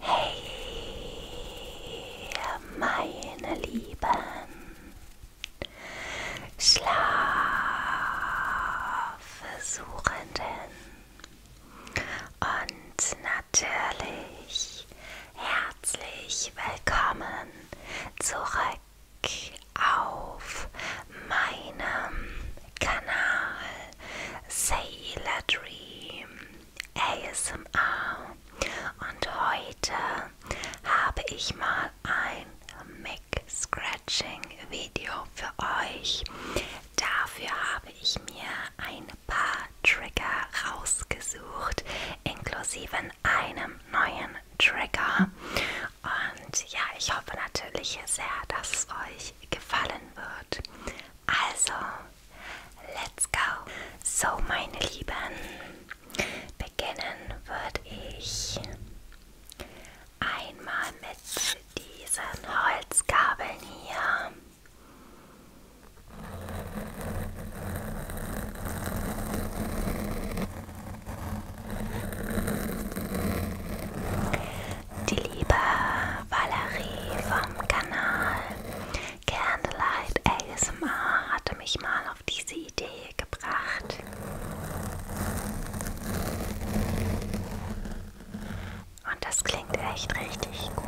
Hey, meine Lieben, Schlafsuchenden und natürlich herzlich willkommen zurück auf meinem Kanal Sailor Dream ASMR und heute habe ich mal ein Mic Scratching Video für euch. Dafür habe ich mir ein paar Trigger rausgesucht, inklusive einem neuen Trigger. Und ja, ich hoffe natürlich sehr, dass es euch gefallen wird. Also, let's go. So, meine Lieben, beginnen würde ich einmal mit diesen Holzkabeln hier. Die liebe Valerie vom Kanal Candlelight ASMR hatte mich mal auf diese Idee gebracht. Und das klingt echt richtig gut.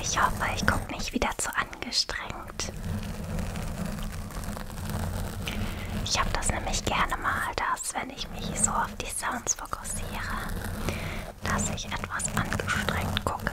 Ich hoffe, ich gucke nicht wieder zu angestrengt. Ich habe das nämlich gerne mal, dass wenn wenn ich mich so auf die Sounds fokussiere, dass ich etwas angestrengt gucke.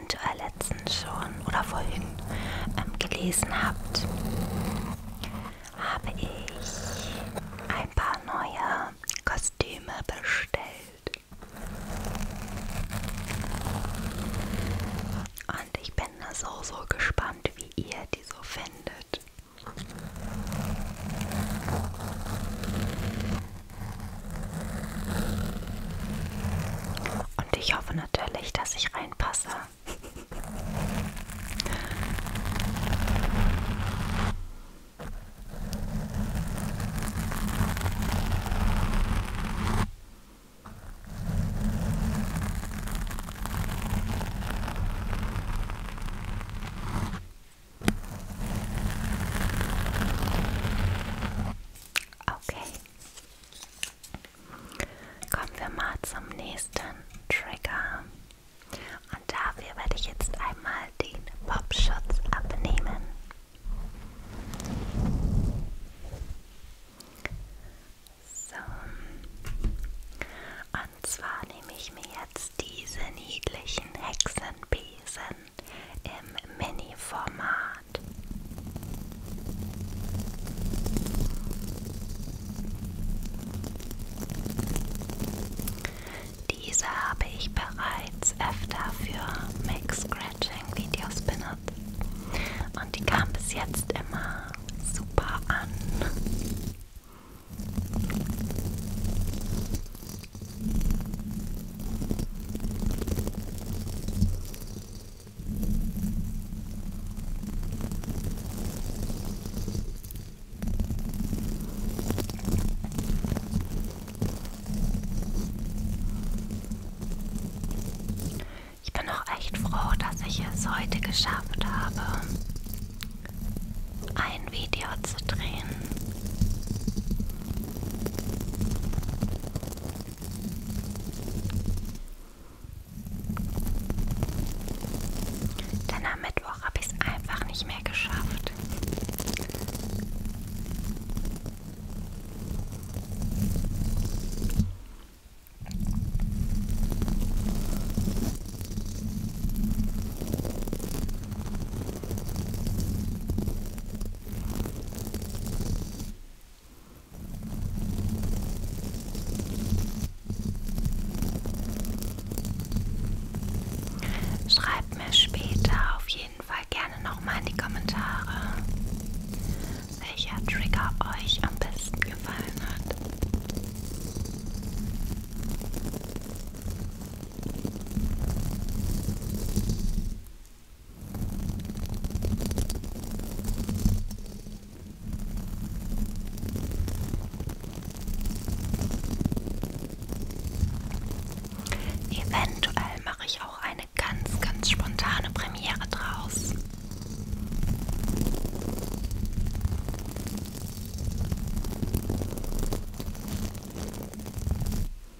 eventuell letztens schon oder vorhin ähm, gelesen habt, habe ich ein paar neue Kostüme bestellt. Und ich bin so, so gespannt, wie ihr die so findet. Und ich hoffe natürlich, dass ich reinpasse. Okay, Kommen wir mal zum nächsten Trigger. Und dafür werde ich jetzt einmal den Popschutz abnehmen. So. Und zwar nehme ich mir jetzt diese niedlichen Hexenbesen im Mini-Format. Diese habe ich bereits öfter für Max Scratching Videos benutzt und die kam bis jetzt immer super an. Ich bin auch echt froh, dass ich es heute geschafft habe, ein Video zu drehen. Denn am Mittwoch habe ich es einfach nicht mehr geschafft. Schreibt mir später auf jeden Fall gerne nochmal in die Kommentare, welcher Trigger euch am besten gefallen hat. Eventuell mache ich auch eine ganz, ganz spontane Premiere draus.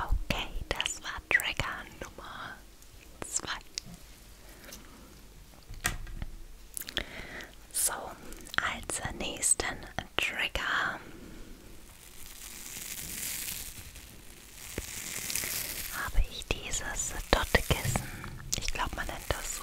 Okay, das war Trigger Nummer 2. So, als nächsten Trigger habe ich dieses Dottekissen. Ich glaube, man nennt das so.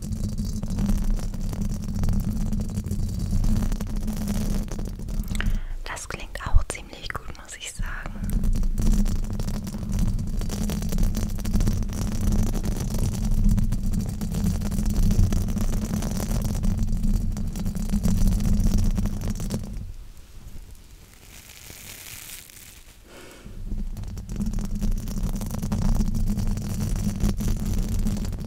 Das klingt auch ziemlich gut, muss ich sagen.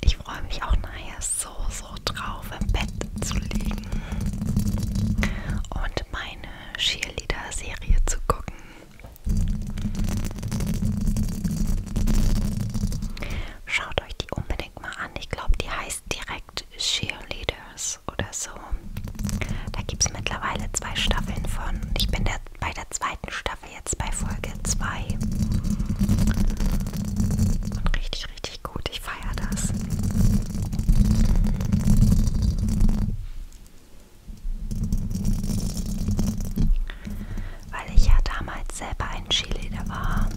Ich freue mich auch nachher so, so drauf, im Bett zu liegen und meine Cheerleader-Serie zu gucken. Schaut euch die unbedingt mal an. Ich glaube, die heißt direkt Cheerleaders oder so. Da gibt es mittlerweile zwei Staffeln von. Ich bin der, bei der zweiten Staffel wären wir jetzt bei Folge 2. Und richtig, richtig gut. Ich feiere das. Weil ich ja damals selber ein Cheerleader war.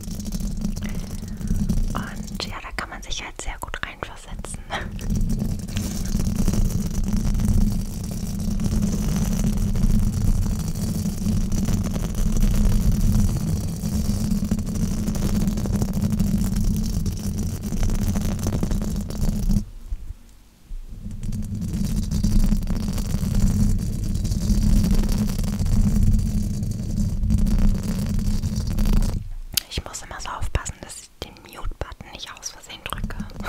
Und ja, da kann man sich halt sehr gut reinversetzen. Ich muss immer so aufpassen, dass ich den Mute-Button nicht aus Versehen drücke.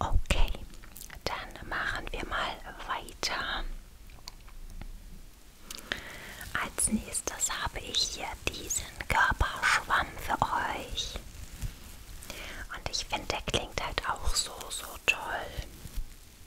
Okay, dann machen wir mal weiter. Als nächstes habe ich hier diesen Körperschwamm für euch. Und ich finde, der klingt halt auch so, so toll.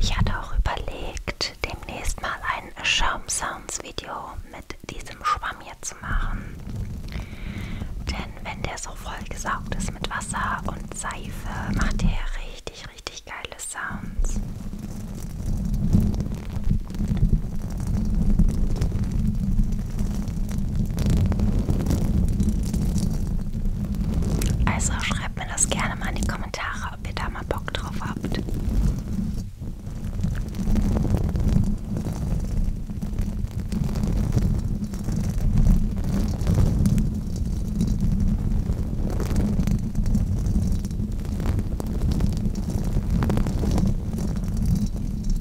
Ich hatte auch überlegt, demnächst mal ein Schaumsounds-Video mit diesem Schwamm hier zu machen. Denn wenn der so vollgesaugt ist mit Wasser und Seife, macht der richtig, richtig geile Sounds. Also schreibt mir das gerne mal in die Kommentare, ob ihr da mal Bock drauf habt.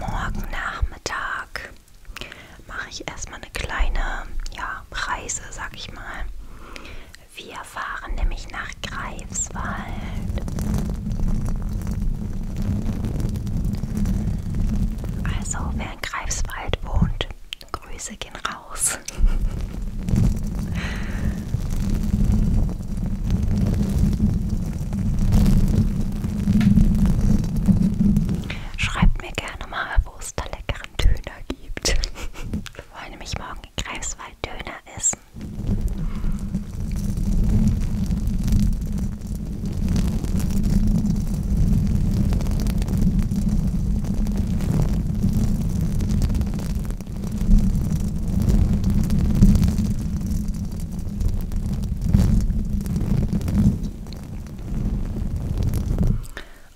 Morgen Nachmittag mache ich erstmal eine kleine ja, Reise, sag ich mal. Wir fahren nämlich nach Greifswald. Also, wer in Greifswald wohnt, Grüße gehen raus. Schreibt mir gerne mal, wo es da leckeren Döner gibt. Wir wollen nämlich morgen in Greifswald Döner essen.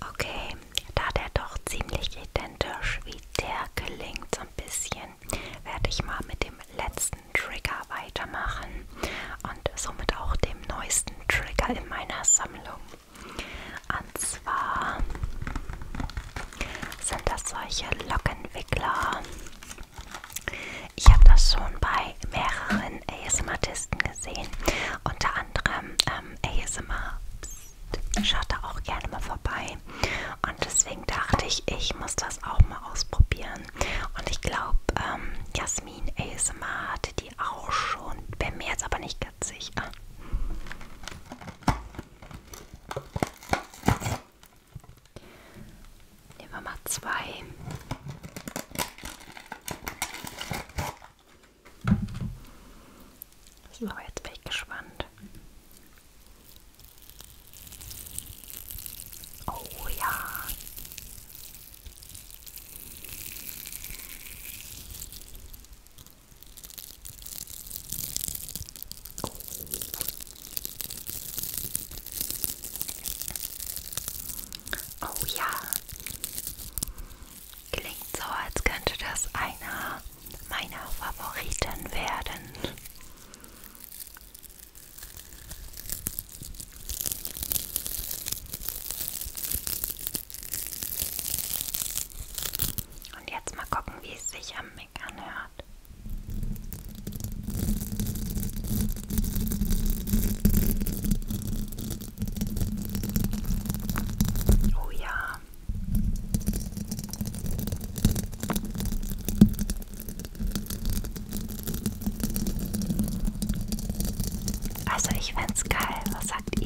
Okay, da der doch ziemlich identisch wie der gelingt so ein bisschen, werde ich mal mit dem letzten Trigger weitermachen und somit auch dem neuesten Trigger in meiner Sammlung. Und zwar sind das solche Lockenwickler. Ich habe das schon bei mehreren ASMRtisten gesehen. Unter anderem ähm, ASMR. Schaut da auch gerne mal vorbei. Und deswegen dachte ich, ich muss das auch mal ausprobieren. Und ich glaube, ähm, Jasmin ASMR hatte die auch schon. Bin mir jetzt aber nicht ganz sicher. Nehmen wir mal zwei. So, jetzt bin ich gespannt. Oh ja. Oh ja, klingt so, als könnte das einer meiner Favoriten werden. Und jetzt mal gucken, wie es sich am Mic anhört. Oh ja. Also ich find's geil. Was sagt ihr?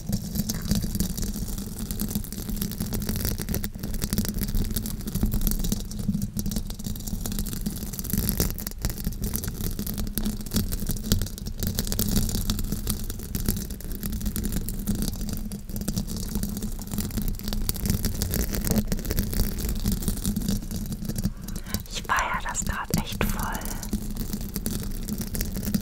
Ich feiere das gerade echt voll.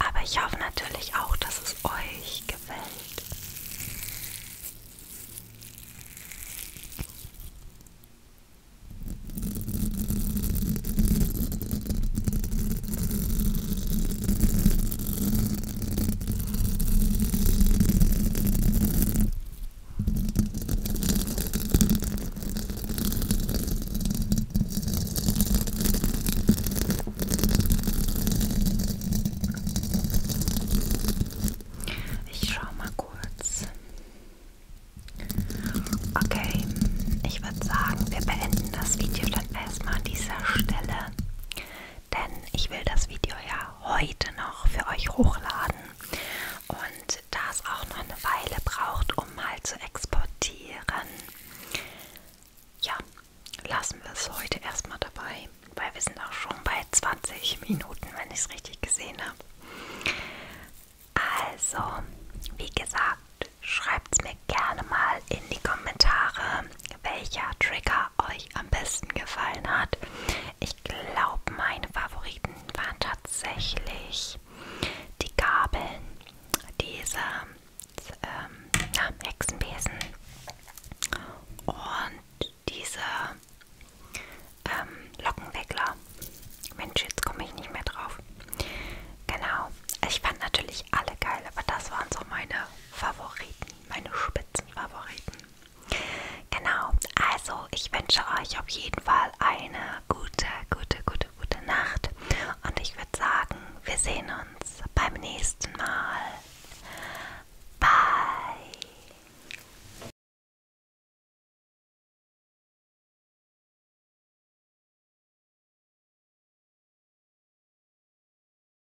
Aber ich hoffe natürlich auch, dass es euch gefällt. Ich schaue mal kurz. Okay, ich würde sagen, wir beenden das Video dann erstmal an dieser Stelle denn ich will das Video ja heute noch für euch hochladen. Und da es auch noch eine Weile braucht, um mal zu exportieren, ja, lassen wir es heute erstmal dabei, weil wir sind auch schon bei 20 Minuten, wenn ich es richtig gesehen habe. Also, wie gesagt, schreibt es mir gerne mal in die Kommentare, welcher Trigger euch am besten gefallen hat. Ich glaube, meine Favoriten waren tatsächlich die Gabeln, diese ähm, ja, Hexenbesen und diese ähm, Lockenwickler. Mensch, jetzt komme ich nicht mehr drauf. Genau. Ich fand natürlich alle geil, aber das waren so meine Favoriten meine Spitzenfavoriten. Genau, also ich wünsche euch auf jeden Fall eine gute, gute, gute, gute Nacht. Und ich würde sagen, wir sehen uns beim nächsten Mal. Bye.